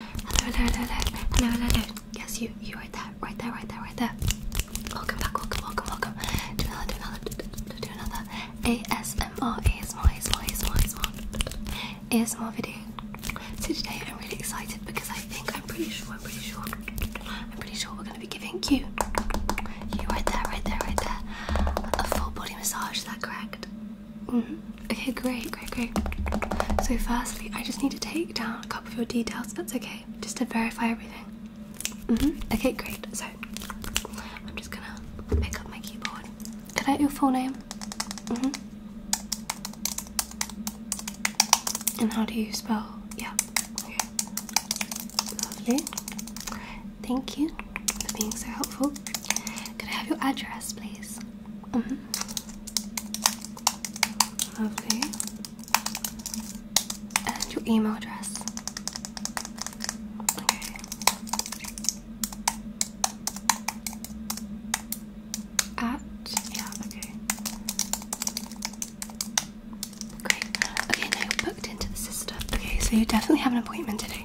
Hello, Yes, you, you right there, right there, right there, right there. Welcome back, welcome, welcome, welcome. Do another, do another, do, do, do another ASMR, video. So today I'm really excited because I think I'm pretty sure, I'm pretty sure, I'm pretty sure we're going to be giving you, you right there, right there, right there, a full body massage. Is that correct? Mm-hmm. Okay, great, great, great. So, firstly, I just need to take down a couple of your details. That's okay, just to verify everything. Mm-hmm. Okay, great. So, I'm just gonna pick up my keyboard. Could I have your full name? Mm-hmm. And how do you spell? Yeah. Lovely. Thank you for being so helpful. Can I have your address, please? Mm And your email address. Okay. At yeah, okay. Great. Okay, now booked into the system. Okay, so you definitely have an appointment today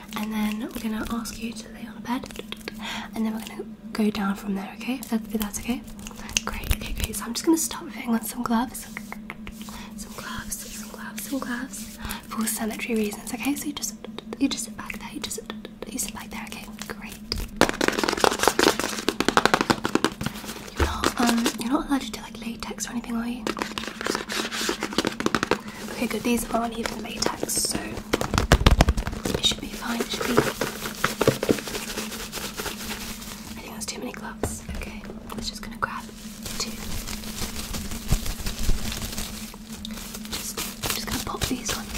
and then we're gonna ask you to lay on a bed, and then we're gonna go down from there. Okay, if, that, if that's okay. Great. Okay, great. So I'm just gonna start putting on some gloves, some gloves, some gloves, some gloves, for sanitary reasons. Okay, so you just you just sit back there. You just you sit back there. Okay, great. You're not um, you're not allergic to like latex or anything, are you? Okay, good. These aren't even latex, so it should be fine. It should be. I think there's too many gloves. Okay, I'm just gonna grab two. Just, just gonna pop these on. I'm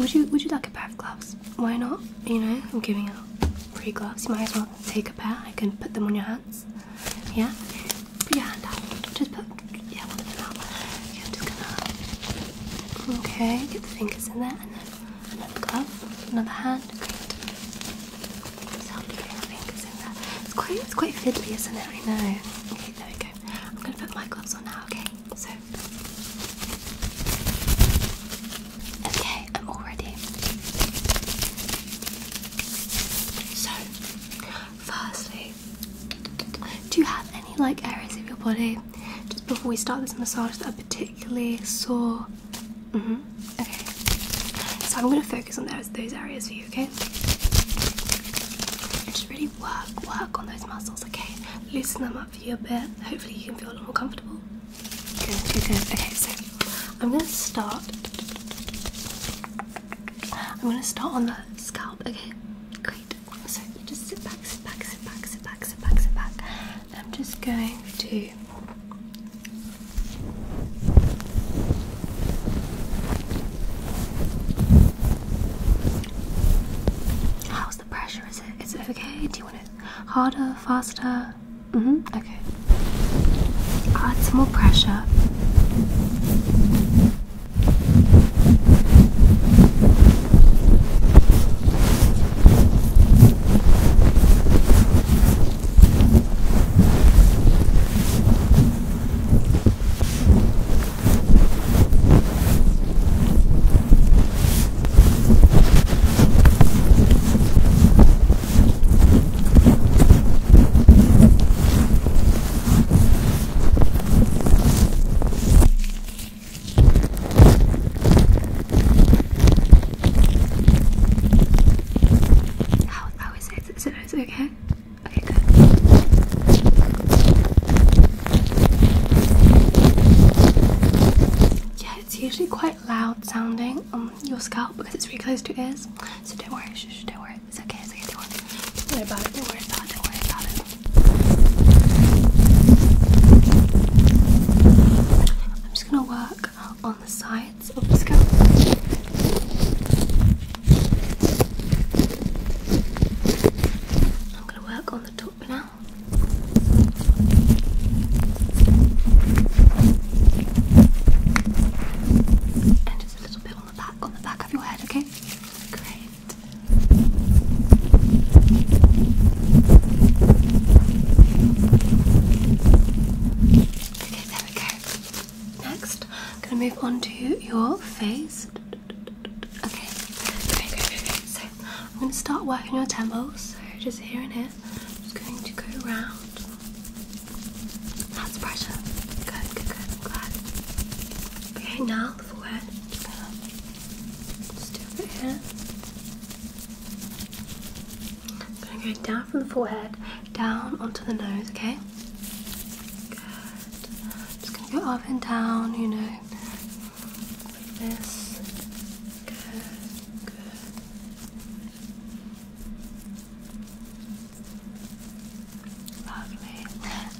Would you, would you like a pair of gloves? Why not? You know, I'm giving out free gloves. You might as well take a pair. I can put them on your hand. Yeah? Put your hand out. Just put yeah, one of them out. Yeah, just gonna Okay, get the fingers in there and then another glove, another hand, great. It's quite it's quite fiddly, isn't it? I know. Okay, there we go. I'm gonna put my gloves on now, okay? So Okay, I'm all ready. So, firstly, do you have any like areas of your body just before we start this massage that are particularly sore? Mm-hmm. Okay. So I'm gonna focus on those those areas for you, okay? just really work, work on those muscles, okay? Loosen them up for you a bit. Hopefully you can feel a little more comfortable. Good, good, good. Okay, so I'm gonna start. I'm gonna start on the scalp. Okay, great. So you just sit back, sit back, sit back, sit back, sit back, sit back. I'm just going to. How's the pressure? Is it? Is it okay? Do you want it harder, faster? Mm-hmm. Okay. Add some more pressure how is it? Is it okay? Okay, good. Yeah, it's usually quite loud sounding um, your scalp because it's really close to your ears. So don't worry, shh, shh, don't worry. It's okay, it's okay, don't worry. Don't worry about it, don't worry about it, don't worry about it. I'm just gonna work on the sides of the scalp. I'm gonna work on the top now. And just a little bit on the back, on the back of your head, okay? Great. Okay, there we go. Next, I'm gonna move on to your face. Okay, okay, okay, okay. So I'm gonna start working your temples. So just here and here. I'm just going to go around. That's pressure. Good, good, good. good. Okay, now forehead. Just do it here. gonna go down from the forehead, down onto the nose, okay? Good. Just gonna go up and down, you know. Like this. Good, good. Lovely.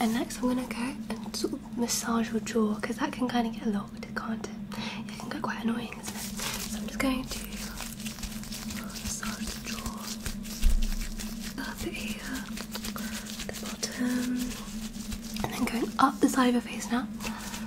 And next, I'm gonna go and sort of massage your jaw because that can kind of get locked, can't it? It can get quite annoying, isn't it? So I'm just going to massage the jaw, up here, the bottom, and then going up the side of your face now.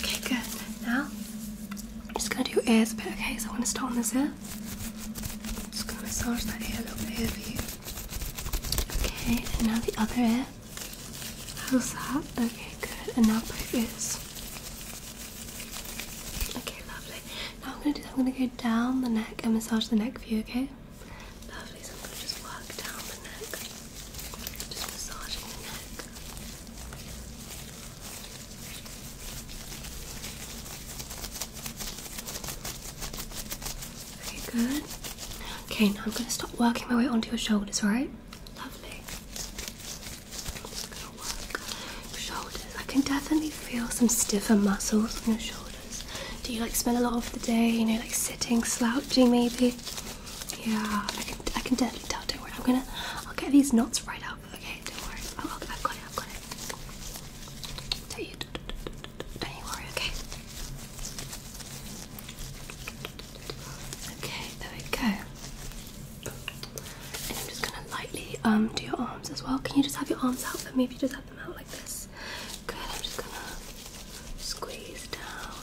Okay, good. Now, I'm just going to do ears but okay? So i want to start on this ear. just going to massage that ear a little bit here for you. Okay, and now the other ear. How's that? Okay, good. And now both ears. Okay, lovely. Now I'm going to do that. I'm going to go down the neck and massage the neck for you, okay? Lovely, so I'm just work down the neck. Just massaging the neck. Okay, good. Okay, now I'm going to start working my way onto your shoulders, Right, Lovely. shoulders. I can definitely feel some stiffer muscles on your shoulders. Do you like spend a lot of the day, you know, like sitting, slouching maybe? Yeah, I can, definitely tell. Don't worry, I'm gonna, I'll get these knots right up. Okay, don't worry. Oh, I've got it. I've got it. Don't you, worry. Okay. Okay, there we go. And I'm just gonna lightly um do your arms as well. Can you just have your arms out for me if you just have them out like Good, I'm just gonna squeeze down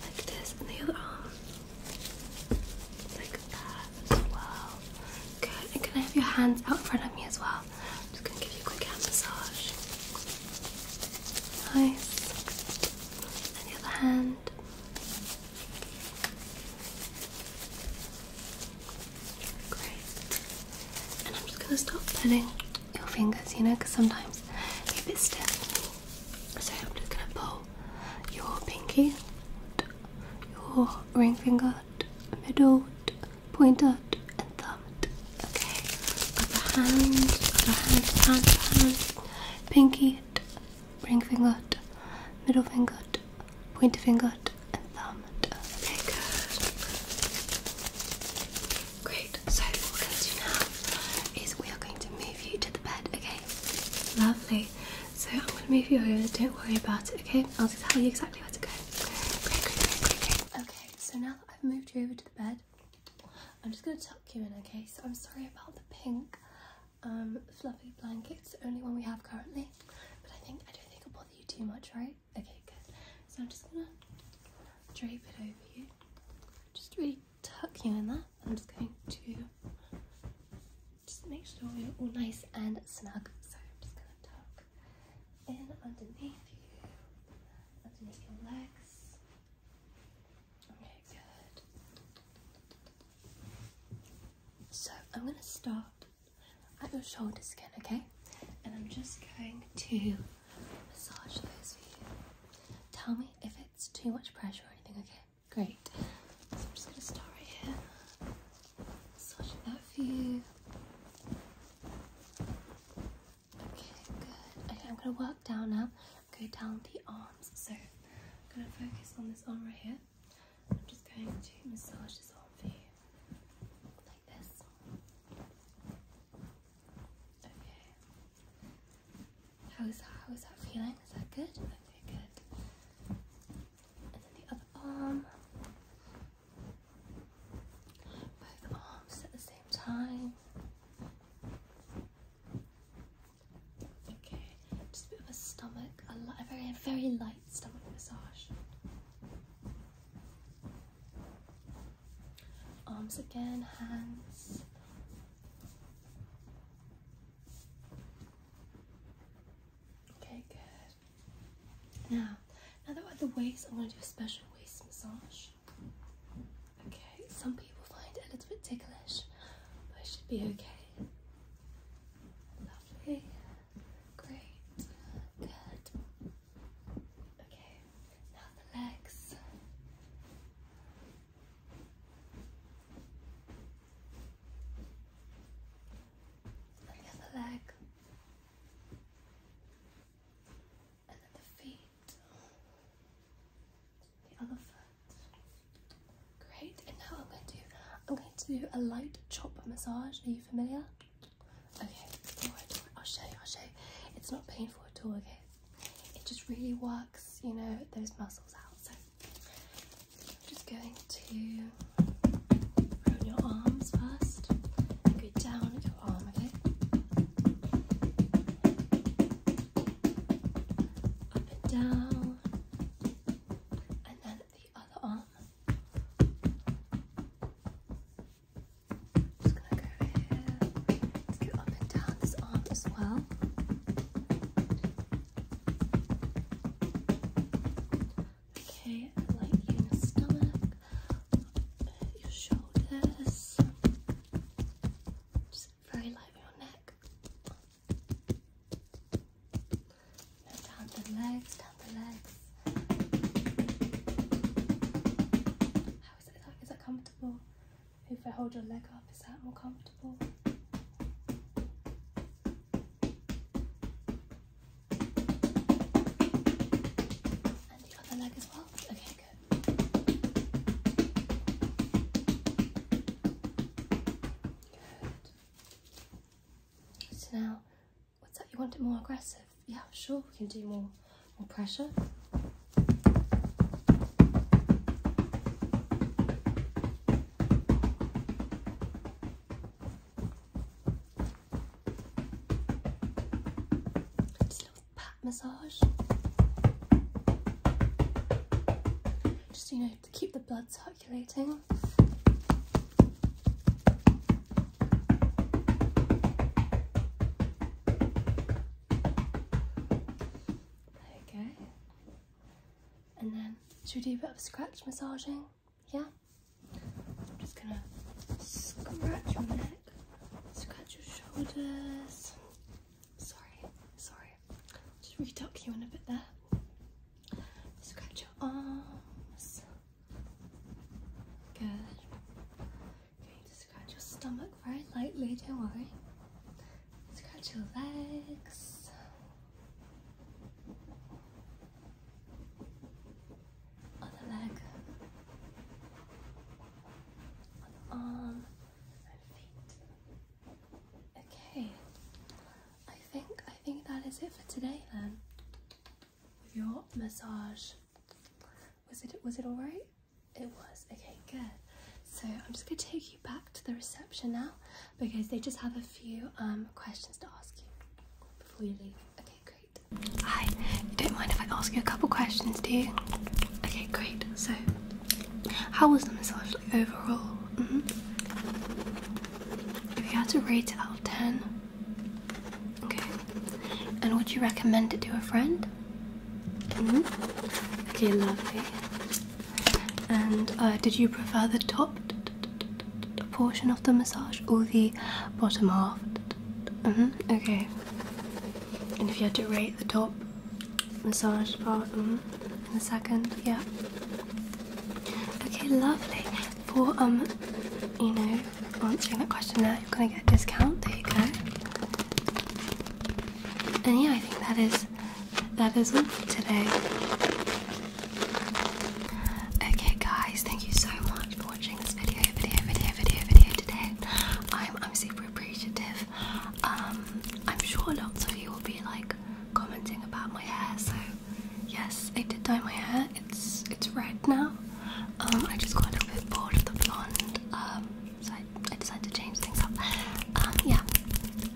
like this, and the other arm like that as well. Good, and can I have your hands out in front of me as well? I'm just gonna give you a quick hand massage. Nice. And the other hand. Great. And I'm just gonna stop petting your fingers, you know, because sometimes you're a bit stiff. So I'm just gonna pull your pinky, your ring finger, middle, pointer, and thumb. Okay, upper hand, upper hand, hand, hand, pinky, ring finger, middle finger, pointer finger, and thumb. Okay, Great. So what we're going to do now is we are going to move you to the bed, okay? Lovely. So I'm going to move you over. Don't worry about it, okay? I'll tell you exactly where to go. Okay. So now that I've moved you over to the bed, I'm just going to tuck you in, okay? So I'm sorry about the pink um, fluffy blankets, the only one we have currently. But I think I don't think it'll bother you too much, right? Okay, good. So I'm just gonna drape it over you. Just really tuck you in there. I'm just going to just make sure you're all nice and snug. So I'm just gonna tuck in underneath you, underneath your legs. Okay, good. So I'm gonna start at your shoulder skin, okay? And I'm just going to massage those for you. Tell me if it's too much pressure or anything, okay? Great. So I'm just going to start right here. Massage that for you. Okay, good. Okay, I'm going to work down now. Okay. down the arms. So I'm going to focus on this arm right here. I'm just going to massage this arm for you. How is that? feeling? Is that good? Okay, good. And then the other arm. Both arms at the same time. Okay, just a bit of a stomach, a, a very, very light stomach massage. Arms again, hands. Okay, good. Now, now that we're at the waist, I'm going to do a special waist massage. Okay, some people find it a little bit ticklish, but it should be okay. Lovely. Great. Good. Okay, now the legs. And the other leg. And then the feet. The other foot. Great, and now I'm going to do I'm going to do a light chop massage. Are you familiar? Okay, I'll show you, I'll show you. It's not painful at all, okay? It just really works, you know, those muscles out. So I'm just going to roll your arms first. go down your arm, okay? Up and down. And then the other arm. just gonna go here. go up and down this arm as well. Okay, like your stomach, your shoulders, just very light on your neck. Now down the legs, down the legs. How is that? Is that comfortable? If I hold your leg up, is that more comfortable? And the other leg as well? Okay, good. Good. So now what's up? You want it more aggressive? Yeah, sure, we can do more, more pressure. Just a little pat massage. Just, you know, to keep the blood calculating. And then, should we do a bit of scratch massaging? Yeah? I'm just gonna scratch your neck, scratch your shoulders. Sorry, sorry. Just reduck you in a bit there. Scratch your arms. Good. You scratch your stomach very lightly, don't worry. Scratch your legs. Other leg. Other arm and feet. Okay. I think I think that is it for today then. With your massage. Was it was it alright? It was. Okay, good. So I'm just gonna take you back to the reception now because they just have a few um, questions to ask you before you leave. Okay, great. Hi, you don't mind if I ask you a couple questions, do you? Okay, great. So how was the massage overall? Mm-hmm. If you had to rate it out of 10. Okay. And would you recommend it to a friend? Mm -hmm. Okay, lovely. And uh, did you prefer the top portion of the massage or the bottom half? -hmm. Okay. And if you had to rate the top massage part mm-hmm, in the second, yeah. Okay, lovely. For um, you know, answering that question there, you're gonna get a discount. There you go. And yeah, I think that is that is it today. Okay, guys, thank you so much for watching this video, video, video, video, video today. I'm I'm super appreciative. Um, I'm sure lots of you will be like commenting about my hair. So yes, I did dye my hair. It's it's red now. Um, I just got a little bit bored of the blonde, um, so I, I decided to change things up. Um, yeah.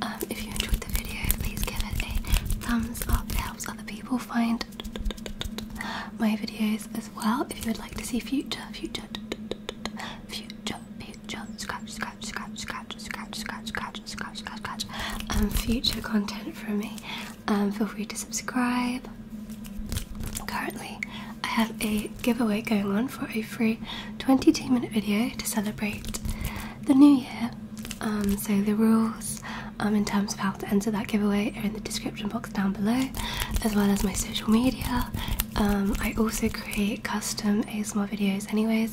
Um, if you enjoyed the video, please give it a thumbs up. It helps other people find my videos as well. If you would like to see future, future, future jump, scratch, scratch, scratch, scratch, scratch, scratch, scratch, scratch, scratch, scratch, um, future content from me. Um, feel free to subscribe. Currently, I have a giveaway going on for a free 22 minute video to celebrate the new year. Um, so, the rules um, in terms of how to enter that giveaway are in the description box down below, as well as my social media. Um, I also create custom ASMR videos, anyways,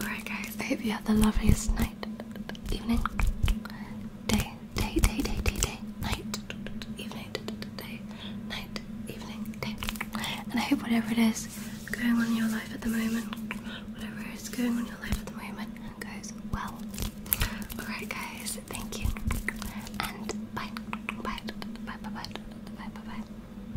Alright, guys, I hope you have the loveliest night, evening, day, day, day, day, day, day, night, evening, day, night, evening, day. And I hope whatever it is going on in your life at the moment, whatever is going on in your life at the moment, goes well. Alright, guys, thank you. And bye. Bye. Bye. Bye. Bye. Bye. Bye. bye.